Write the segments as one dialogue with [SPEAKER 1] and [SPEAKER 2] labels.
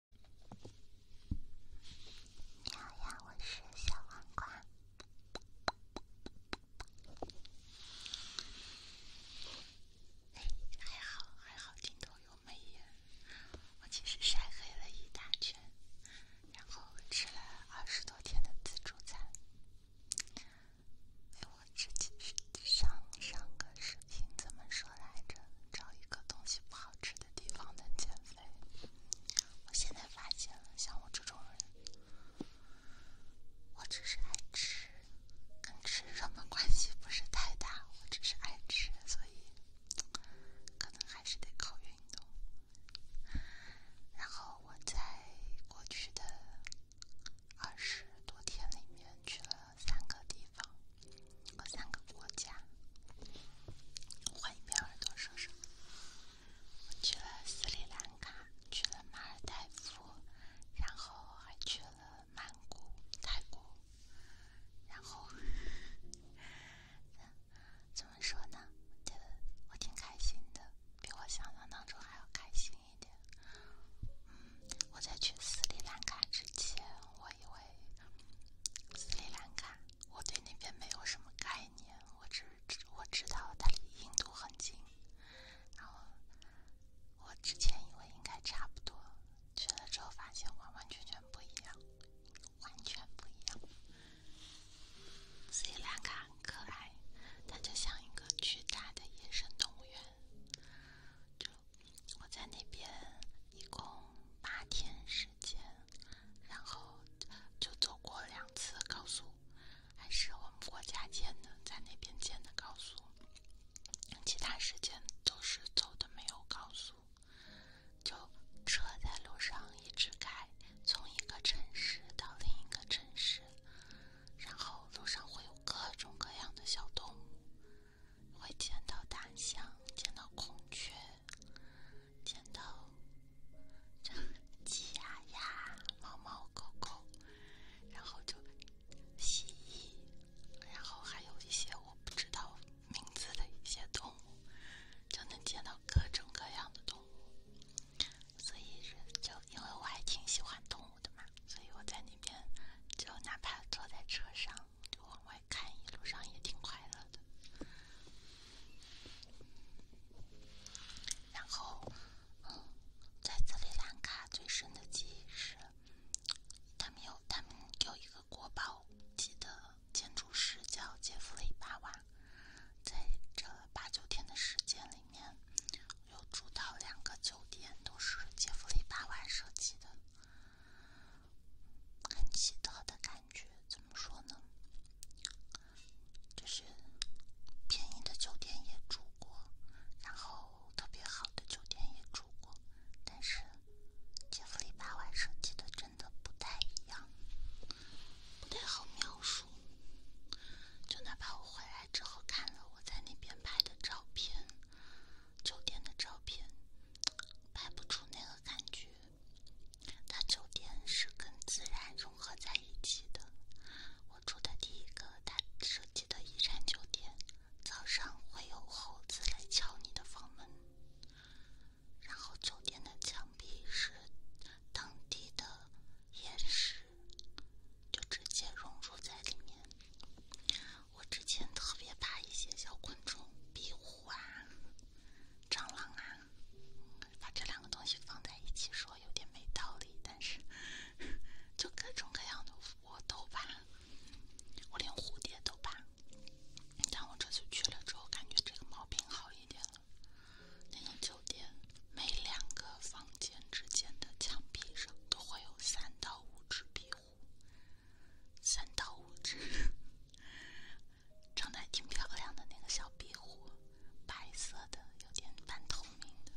[SPEAKER 1] 你好我是小黄瓜。还好还好，镜头有美颜。我其实晒黑了一大圈，然后吃了二十多天的自助餐。哎，我这几天上上个是。听怎么说来着？找一个东西不好吃的地方能减肥。我现在发现了，像我这种人，我只是爱吃，跟吃什么关系不是太大。我只是爱吃，所以可能还是得靠运动。然后我在过去的二十多天里面去了。三个地方和三个国家，换一边耳朵说说。我去了斯里兰卡，去了马尔代夫，然后还去了曼谷、泰国。然后，怎么说呢？觉得我挺开心的，比我想象当中还要开心一点。我在去斯里兰卡之前，我以为。斯里兰卡，我对那边没有什么概念，我只我知道它离印度很近，然后我之前以为应该差不多，去了之后发现完完全全不一样，完全不一样。斯里兰卡很可爱，它就像一个巨大的野生动物园，就。我在那边一共八天时间，然后就走过两次高速，还是我们国家建的，在那边建的高速。其他时间都是走的没有高速，就车在路上一直开，从一个城市到另一个城市，然后路上会有各种各样的小动物。会见到大象，见到孔雀，见到鸡鸭鸭、猫猫狗狗，然后就蜥蜴，然后还有一些我不知道名字的一些动物，就能见到各种各样的动物。所以就因为我还挺喜欢动物的嘛，所以我在那边就哪怕坐在车上就往外。看一路上也挺快乐的，然后，在斯里兰卡最深的记忆是，他们有他们有一个国宝级的建筑师叫杰弗里巴瓦，在这八九天的时间里面，有住到两个酒店都是杰弗里巴瓦设计的。很奇特的感觉，怎么说呢？就是便宜的酒店也住过，然后特别好的酒店也住过，但是杰弗里巴万设计的真的不太一样，不太好描述。就哪怕我回来之后看了我在那边拍的照片，酒店的照片。拍不出那个感觉。它酒店是跟自然融合在一起的。我住的第一个它设计的遗产酒店，早上会有猴子来敲你的房门。然后酒店的墙壁是当地的岩石，就直接融入在里面。我之前特别怕一些小昆虫，壁虎啊、蟑螂啊，把这两个东西放在一起说有点没道理。但是，就各种各样的我都怕，我连蝴蝶都怕。但我这次去了之后，感觉这个毛病好一点了。那家酒店每两个房间之间的墙壁上都会有三到五只壁虎。三到五只，长得还挺漂亮的那个小壁虎，白色的，有点半透明的。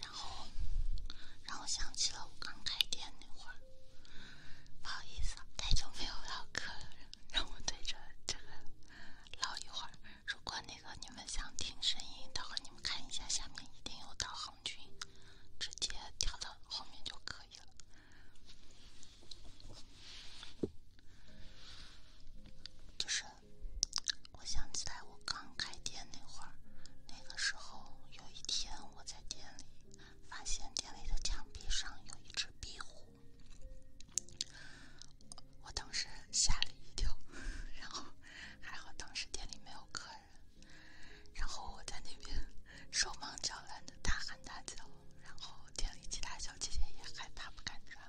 [SPEAKER 1] 然后让我想起了我刚开店那会儿，不好意思，太久没有唠嗑了，让我对着这个唠一会儿。如果那个你们想听声音的话，你们看一下下面一定有导航。军直接跳到后面就可以了。就是我想起来，我刚开店那会那个时候有一天我在店里发现店里的墙壁上有一只壁虎，我当时吓了一跳，然后还好当时店里没有客人。然后我在那边手忙脚乱的大喊大叫，然后店里其他小姐姐也害怕不敢抓，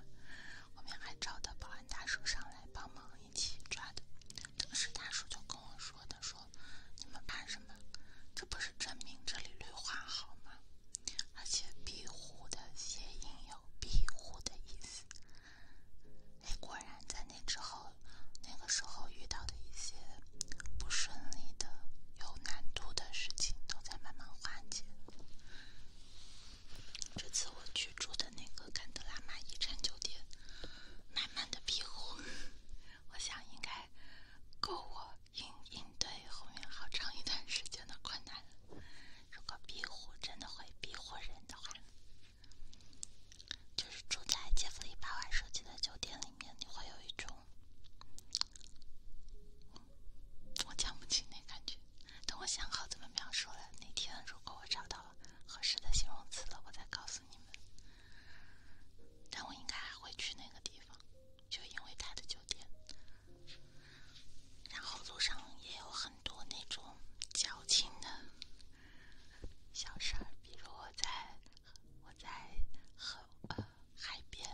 [SPEAKER 1] 后面还招的保安大叔上来帮忙一起抓的。当时大叔就跟我说：“他说你们怕什么？这不是证明这里绿化好吗？而且庇护的谐音有庇护的意思。”果然，在那之后。那个时候遇到的一些不顺利的、有难度的事情，都在慢慢化解。这次我去住的那个甘德拉玛遗产酒店，满满的庇护，我想应该够我应应对后面好长一段时间的困难。了。如果庇护真的会庇护人的话，就是住在杰弗里·巴瓦设计的酒店里面，你会有一种。我讲不清那感觉，等我想好怎么描述了。那天如果我找到了合适的形容词了，我再告诉你们。但我应该还会去那个地方，就因为他的酒店。然后路上也有很多那种矫情的小事儿，比如我在。我在河呃海边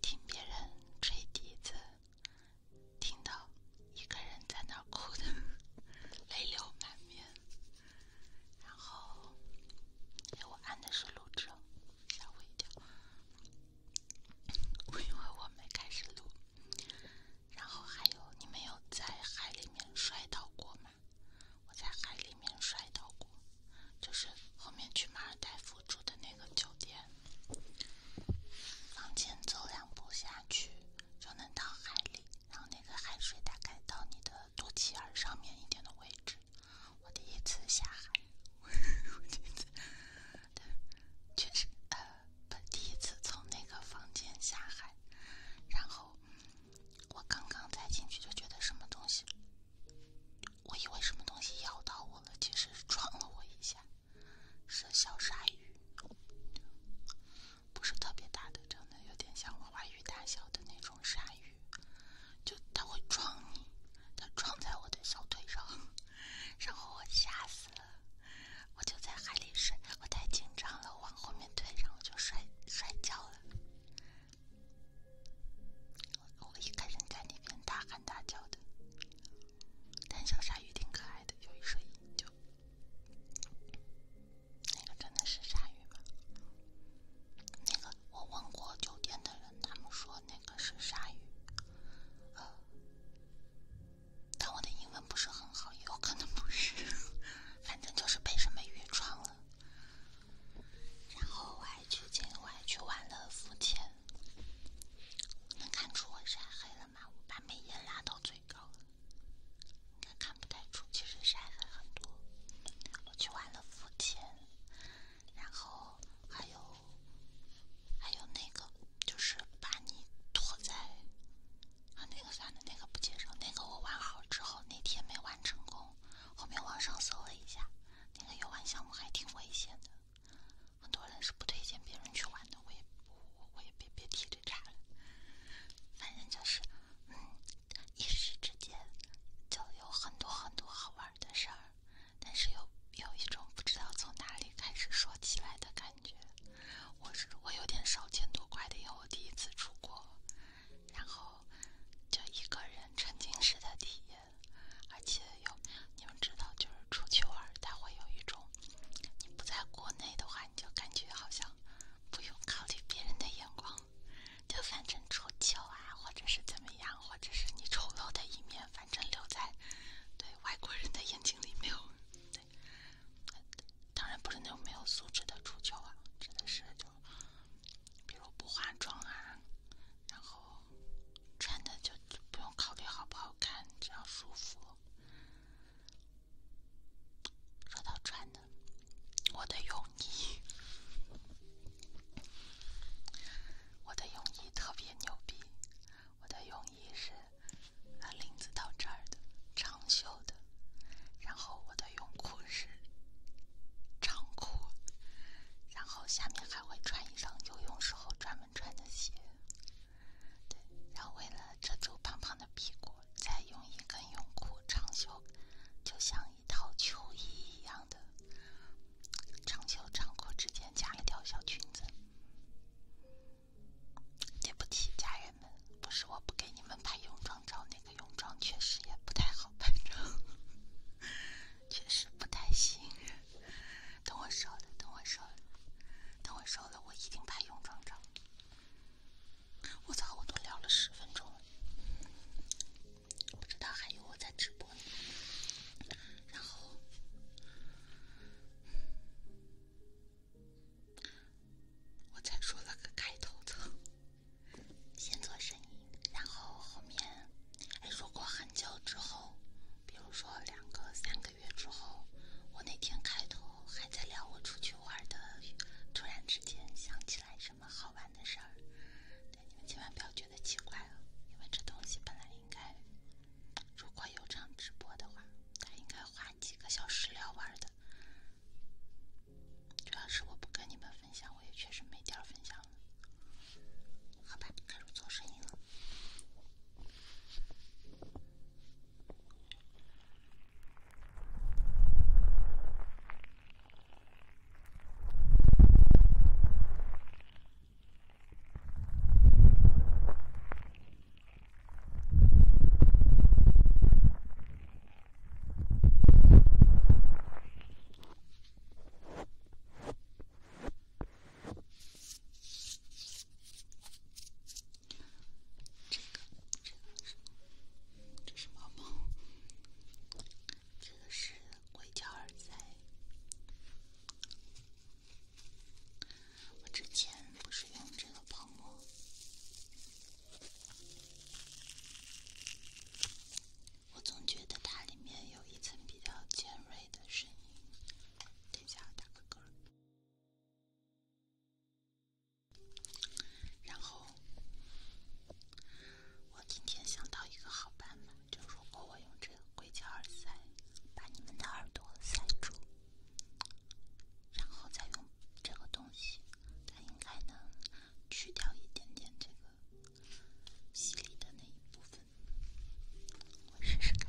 [SPEAKER 1] 听别人吹笛子，听到一个人在那哭的泪流满面。然后，给我按的是录制，吓我一跳，我以为我没开始录。然后还有，你们有在海里面摔倒过吗？我在海里面摔倒过，就是后面去马尔代夫住的那个酒店，房间走两步下去就能到海里，然后那个海水大概到你的肚脐眼上面一点的位置。我第一次下海，第一次，确实，呃，不，第一次从那个房间下海，然后。我刚刚才进去就觉得什么东西，我以为什么东西咬到我了，其实撞了我一下，是小鲨鱼，不是特别大的，长得有点像娃娃鱼大小的那种鲨鱼，就它会撞你，它撞在我的小腿上，然后我吓死了，我就在海里睡，我太紧张了，往后面推，然后就摔摔跤了。我一开始在那边大喊大叫的，但小鲨鱼挺可爱的，有一声音就那个真的是鲨鱼吗？那个我问过酒店的人，他们说那个是鲨鱼，呃，但我的英文不是很好，也有可能不是，反正就是被什么鱼撞了。然后我还去，我还去玩了福剑，能看出我晒黑了吗？我把美颜拉到最高了，看不太出，其实晒黑很多。我去玩了福剑，然后还有还有那个，就是把你拖在啊那个啥的那个不介绍，那个我玩好之后那天没玩成功。后面网上搜了一下，那个游玩项目还挺危险的，很多人是不推荐别人去玩的。我也我我也别别提这茬了，反正就是，嗯，一时之间就有很多很多好玩的事儿，但是有有一种不知道从哪里开始说起来的感觉。我是我有点少见多怪的，因为我第一次出国。然后就一个人沉浸式的体验，而且有你们知道，就是出去玩，他会有一种，你不在国内的话，你就感觉好像不用考虑别人的眼光，就反正出丑啊，或者是怎么样，或者是你丑陋的一面，反正留在对外国人的眼睛里没有。对，当然不是那种没有素质的出丑啊，真的是就。比如不化妆啊，然后穿的就就不用考虑好不好看，只要舒服。说到穿的，我的泳衣，我的泳衣特别牛逼，我的泳衣是啊领子到这儿的，长袖的，然后我的泳裤是。长裤，然后下面还会穿一双游泳时候专门穿的鞋。对，然后为了遮住胖胖的屁股，再用一根泳裤长袖，就像一套秋衣一样的长袖长裤之间夹了一条小裙子。对不起，家人们，不是我不给你们拍泳装。找那个泳装确实也不太好拍照，确实不太行。等我瘦了，等我瘦了，等我瘦了，我一定拍泳装照。我操，我都聊了十分钟了，不知道还有我在直播呢。然后我才说了个开头词。先做生意，然后后面，哎，如果很久之后，比如说两个、三个月之后，我那天开头还在聊我出去玩的，突然之间想起来什么好玩的事儿，对你们千万不要觉得奇怪啊，因为这东西本来应该，如果有场直播的话，它应该花几个小时聊玩的。主要是我不跟你们分享，我也确实没点儿分享了，好吧，开始做声音了。这个，这个是，这是毛毛，这个是硅胶耳塞。我之前不是用这个泡沫。我总觉得它里面有一层比较尖锐的声音。等下打个嗝。然后，我今天想到一个好办法，就如果我用这个硅胶耳塞把你们的耳朵塞住，然后再用这个东西，它应该能。去掉一点点这个犀利的那一部分，我试试看。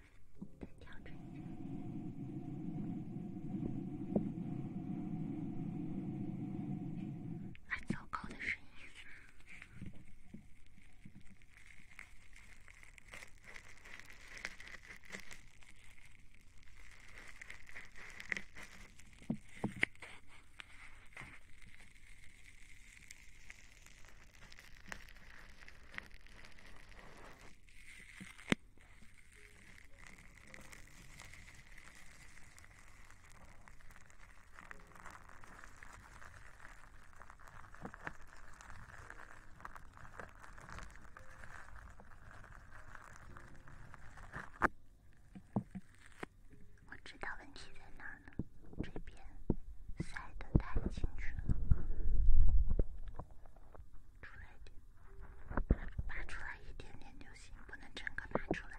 [SPEAKER 1] 调成，还比较高的声音。我知道问题在哪了，这边塞得太进去了。出来一点，拔出来一点点就行，不能整个拔出来。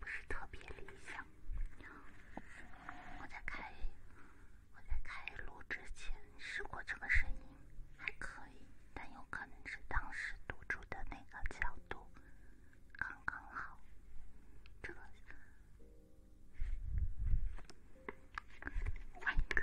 [SPEAKER 1] 不是特别理想。我在开我在开录之前试过这个声音，还可以，但有可能是当时读出的那个角度。刚刚好，这个，换一个。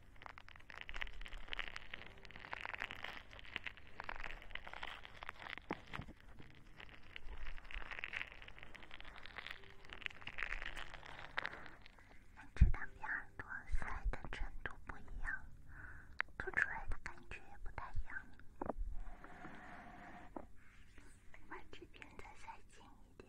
[SPEAKER 1] 两只耳朵塞的程度不一样，吐出来的感觉也不太一样。把这边再塞紧一点。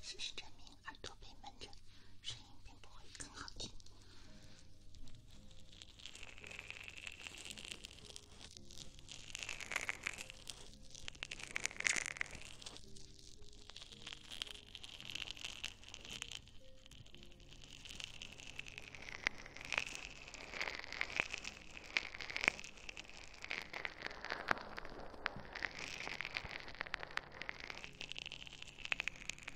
[SPEAKER 1] 是真的。耳朵被闷着，声音并不会更好听。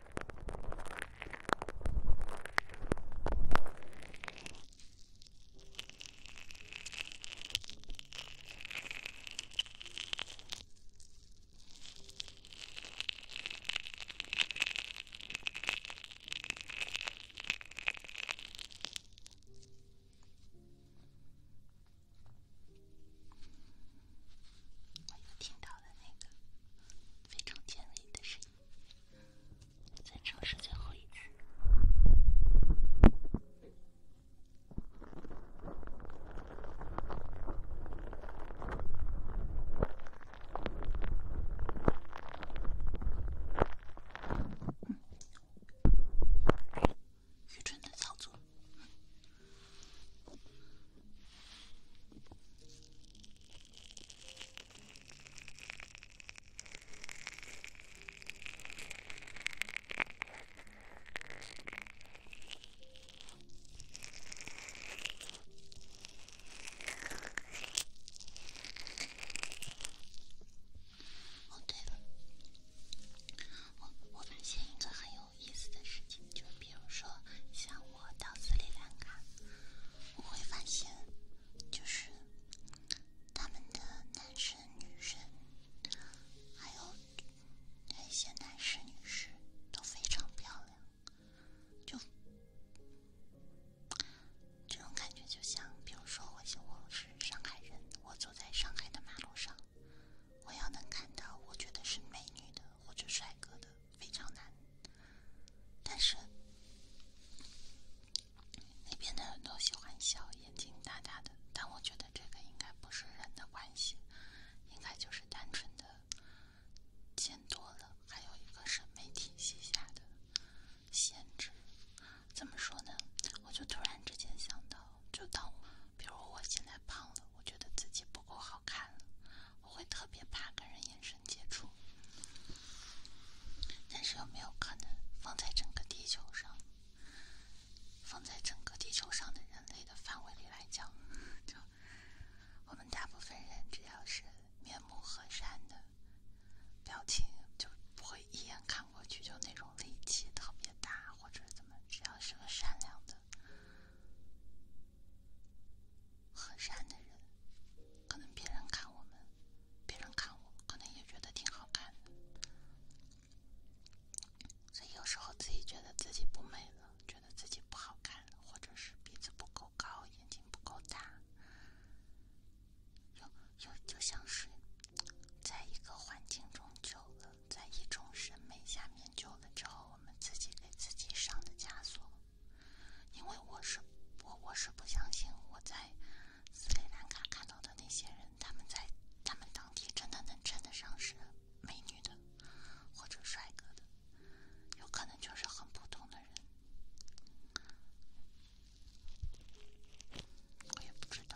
[SPEAKER 1] 我又听到了那个非常尖锐的声音。再尝试最后一次。愚蠢的操作。哦，对了，我我发现一个很有意思的事情，就比如说像。我到斯里兰卡，我会发现，就是他们的男生、女生，还有那些男士、女士都非常漂亮。就这种感觉，就像，比如说，我我是上海人，我走在上海的马路上，我要能看到我觉得是美女的或者帅哥的。非常难，但是那边的人都喜欢笑，眼睛大大的。但我觉得这个应该不是人的关系，应该就是单纯的见多了，还有一个审美体系下的限制。怎么说呢？我就突然之间想到，就当比如我现在胖了，我觉得自己不够好看了。我会特别怕跟人眼神接触，但是有没有可能放在整个地球上，放在整个地球上的人类的范围里来讲，就我们大部分人只要是面目和善的，表情就不会一眼看过去就那种戾气特别大或者怎么，只要是个善良的。和善的人，可能别人看我们，别人看我，可能也觉得挺好看的。所以有时候自己觉得自己不美了，觉得自己不好看了，或者是鼻子不够高，眼睛不够大，又又就像是在一个环境中久了，在一种审美下面久了之后，我们自己给自己上的枷锁。因为我是我，我是不相信我在斯里兰卡看到的那些人，他们在他们当地真的能称得上是美女的，或者帅哥的，有可能就是很普通的人，我也不知道。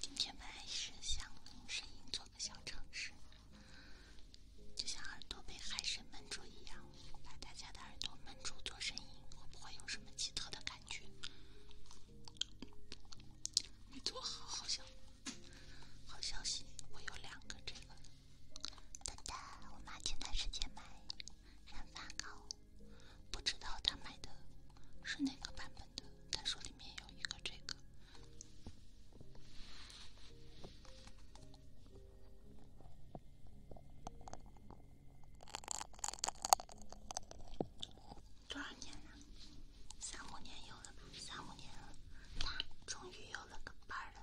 [SPEAKER 1] 今天还是想声音做个小尝试，就像耳朵被海参闷住一样，把大家的耳朵闷住做声音，会有什么奇特的感觉？没做好，好像。好消息，我有两个这个。等等，我妈前段时间买染发膏，不知道她买的是哪个版本的。她说里面有一个这个。多少年了？三五年有了，三五年了。终于有了个伴儿了。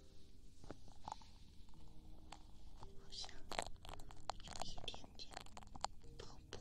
[SPEAKER 1] 好像有一点点爆破。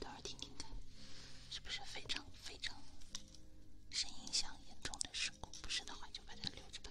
[SPEAKER 1] 等会儿听听看，是不是非常非常受影响严重的事故？不是的话，就把它留着吧。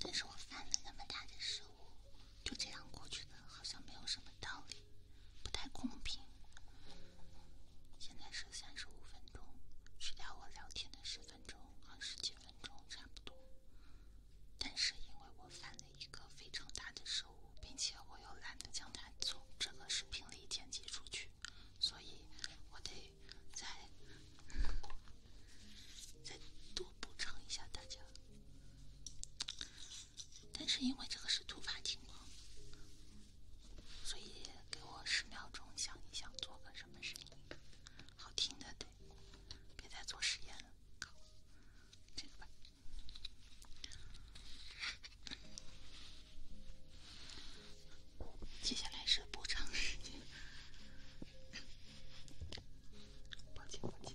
[SPEAKER 1] 但是我犯了那么大的失误，就这样过去的，好像没有什么道理，不太公平。现在是三十分钟，去掉我聊天的十分钟，和时间。分钟差不多，但是因为我犯了一个非常大的失误，并且我又懒得将它从这个视频里剪辑出去，所以我得再再多补偿一下大家。但是因为这个是突发情况，所以给我十秒钟想一想，做个什么声音好听的。别再做实验了，搞这个吧。接下来是补偿时间，抱歉抱歉。